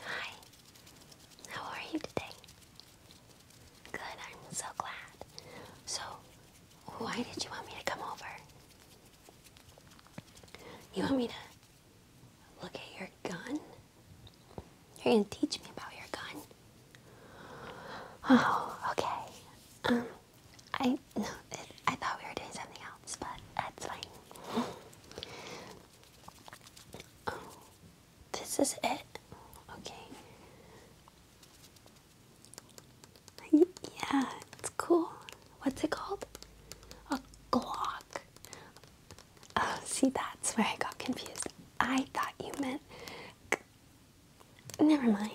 Hi, how are you today? Good, I'm so glad. So, why did you want me to come over? You want me to look at your gun? You're gonna teach me about your gun? Oh, okay. Um, I no, I thought we were doing something else, but that's fine. Oh, this is it. Okay. Yeah, it's cool. What's it called? A Glock. Oh, see, that's where I got confused. I thought you meant. Never mind.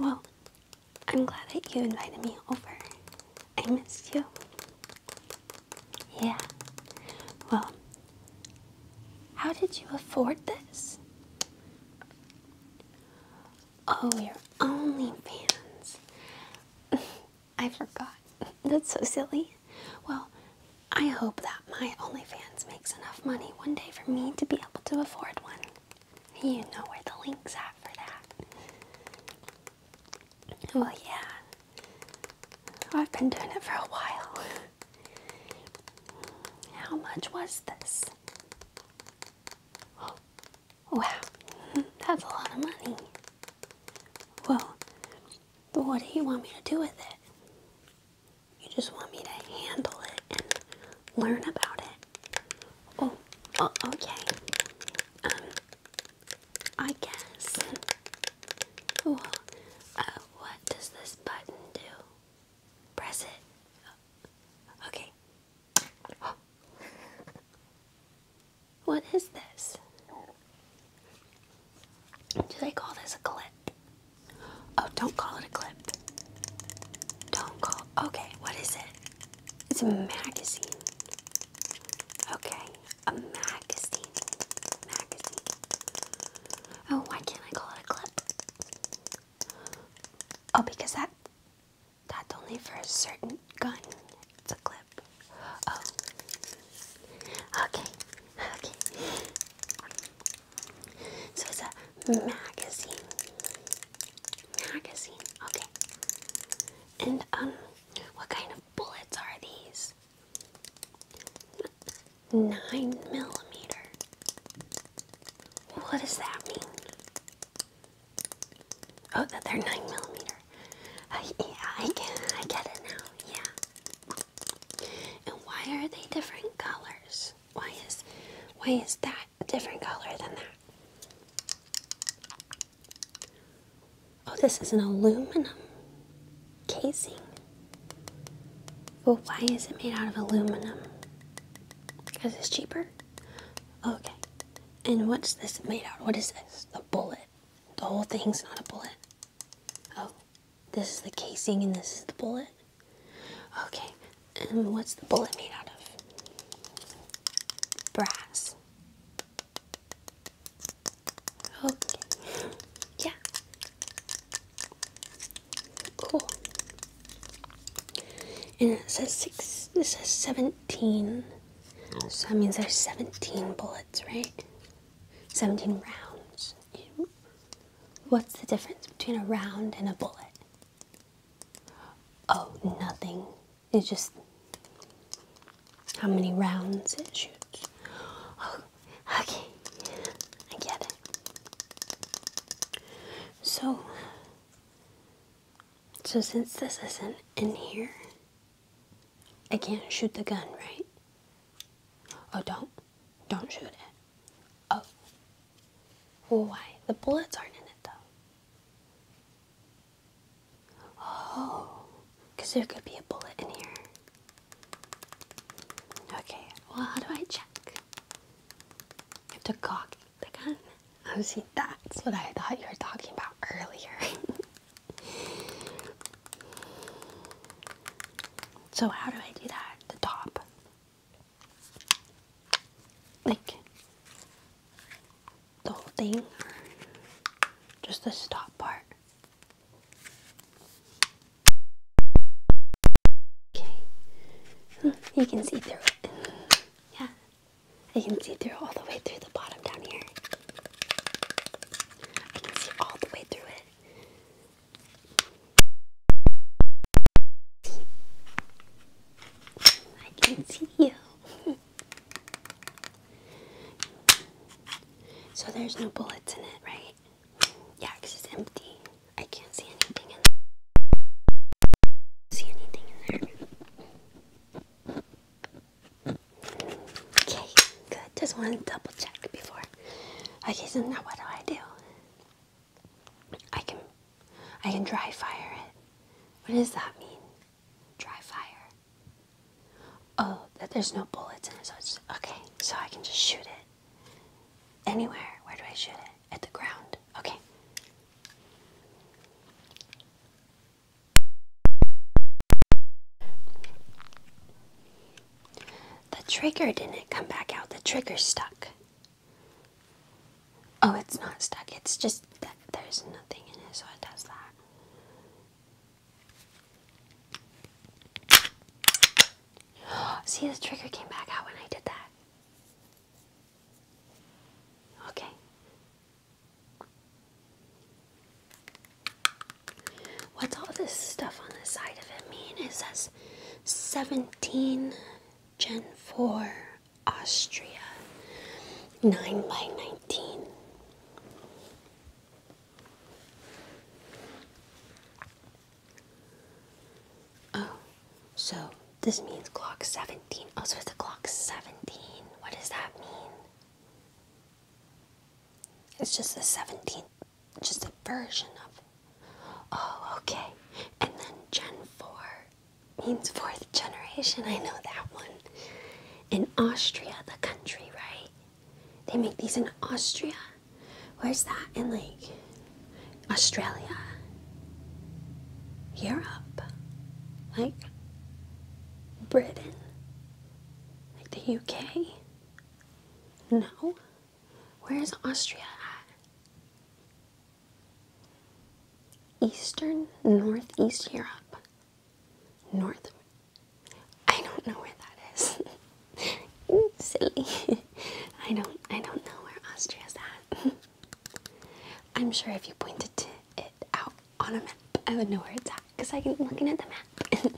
Well, I'm glad that you invited me over. I missed you. Yeah. Well, how did you afford this? Oh, your OnlyFans. I forgot. That's so silly. Well, I hope that my OnlyFans makes enough money one day for me to be able to afford one. You know where the link's at for that. Well, oh, yeah, I've been doing it for a while. How much was this? wow, that's a lot of money. Well, but what do you want me to do with it? You just want me to handle it and learn about it. Oh, oh okay. Um, I guess. Cool. Uh, what does this button do? Press it. Okay. What is this? Do they call this a clip? Oh, don't call it a clip. Don't call. Okay, what is it? It's a magazine. Okay, a magazine. Magazine. Oh, why can't I call it a clip? Oh, because that that's only for a certain gun. It's a clip. Oh. Okay. Okay. So it's a magazine. Magazine. Okay. And um what kind of bullets are these? Nine millimeter. What does that mean? Oh, that they're nine millimeter. Uh, yeah, I get, I get it now. Yeah. And why are they different colors? Why is, why is that a different color than that? Oh, this is an aluminum casing. Well, why is it made out of aluminum? Because it's cheaper? Okay. And what's this made out of? What is this? The bullet. The whole thing's not a bullet. Oh, this is the casing and this is the bullet? Okay. And what's the bullet made out of? Brass. Okay. Yeah. Cool. And it says six. This says seventeen. Oh. So that means there's seventeen bullets, right? Seventeen rounds. What's the difference between a round and a bullet? Oh, nothing. It's just how many rounds it shoots. Oh, okay, I get it. So, so since this isn't in here, I can't shoot the gun, right? Oh, don't, don't shoot it. Oh, well, why? The bullets aren't in it though. Oh, because there could be a bullet in here. Okay, well, how do I check? I have to cock the gun. Oh, see, that's what I thought you were talking about earlier. so, how do I do that? The top. Like, the whole thing just the stop part? Okay, you can see through it. Yeah, I can see through all the way through the bottom down here. I can see all the way through it. I can see you. So there's no bullets in it, right? Yeah, because it's empty. I can't see anything in there. See anything in there? Okay, good. Just want to double check before. Okay, so now what do I do? I can I can dry fire it. What does that mean? dry fire. Oh, that there's no bullets in it, so it's okay, so I can just shoot it. Anywhere. Where do I shoot it? At the ground. Okay. The trigger didn't come back out. The trigger stuck. Oh, it's not stuck. It's just that there's nothing in it, so it does that. See, the trigger came back out when I did that. Okay. What's all this stuff on the side of it mean? It says 17 Gen 4 Austria 9 by 19. Oh, so this means clock 17. Also, oh, so the clock 17. What does that mean? It's just a seventeen, just a version of. Oh, okay. And then Gen 4 means fourth generation. I know that one in Austria, the country, right? They make these in Austria. Where's that? In like Australia, Europe, like Britain, like the UK? No. Where is Austria at? Eastern, Northeast Europe. North. I don't know where that is. Silly. I don't I don't know where Austria's at. I'm sure if you pointed to it out on a map, I would know where it's at because I can looking at the map.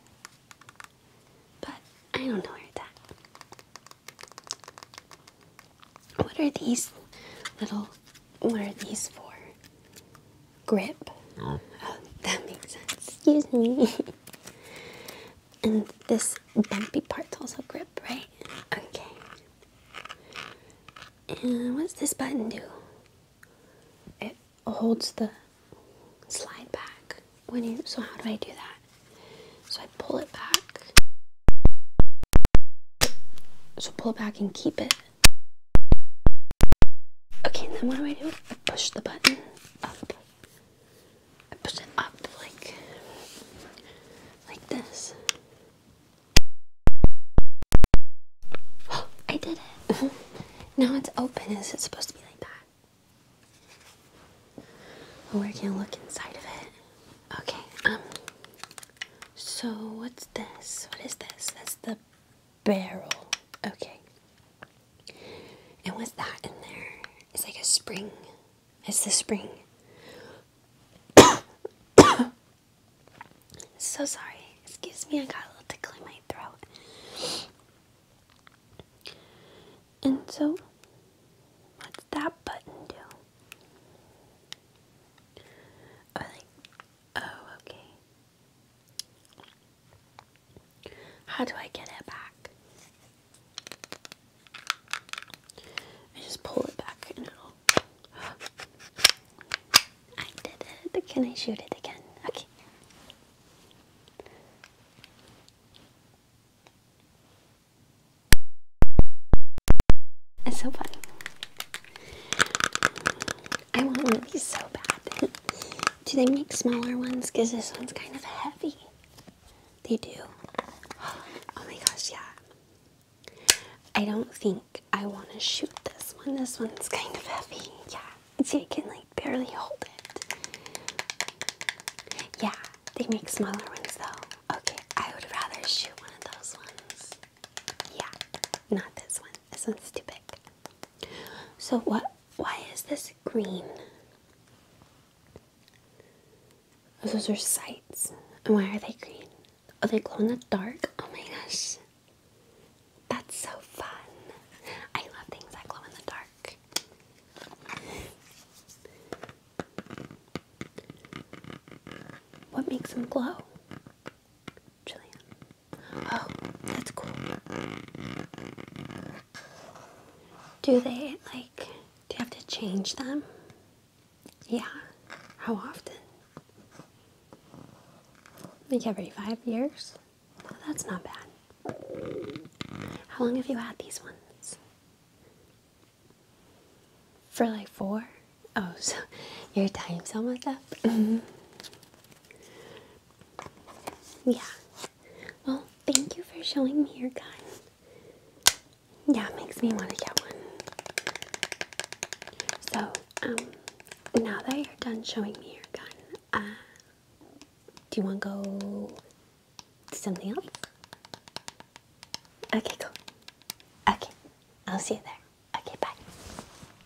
but I don't know where it's at. What are these little what are these for? Grip. Oh, oh that makes sense. Excuse me. and this bumpy part's also grip, right? Okay. And what's this button do? It holds the slide back. When you so how do I do that? So I pull it back. So pull it back and keep it. Okay, then what do I do? I push the button up. I push it up like like this. I did it. now it's open. Is it supposed to be like that? Oh, we're gonna look inside of it. Okay. Um. So what's this? What is this? That's the barrel. Okay. And what's that in there? It's like a spring. It's the spring. so sorry. Excuse me, I got a little tickle in my throat. And so, what's that button do? Oh, okay. How do I get it back? I just pull it back and it'll. I did it. Can I shoot it again? Okay. It's so fun. I want one of these so bad. do they make smaller ones? Because this one's kind of heavy. They do. Oh my gosh, yeah. I don't think I want to shoot this one. This one's kind of heavy. Yeah. See, I can like barely hold it. Yeah, they make smaller ones though. Okay, I would rather shoot one of those ones. Yeah, not this one. This one's too big. So what why is this green? Those are sights. And why are they green? Are they glow in the dark? Oh my gosh. That's so fun. I love things that glow in the dark. What makes them glow? Jillian. Oh, that's cool. Do they, like, do you have to change them? Yeah. How often? Like every five years? that's not bad. How long have you had these ones? For like four? Oh, so your time's almost up. Yeah. Well, thank you for showing me your gun. Yeah, it makes me want to get one. So, um, now that you're done showing me your gun, uh, do you want to go to something else? Okay, cool. Okay, I'll see you there. Okay, bye.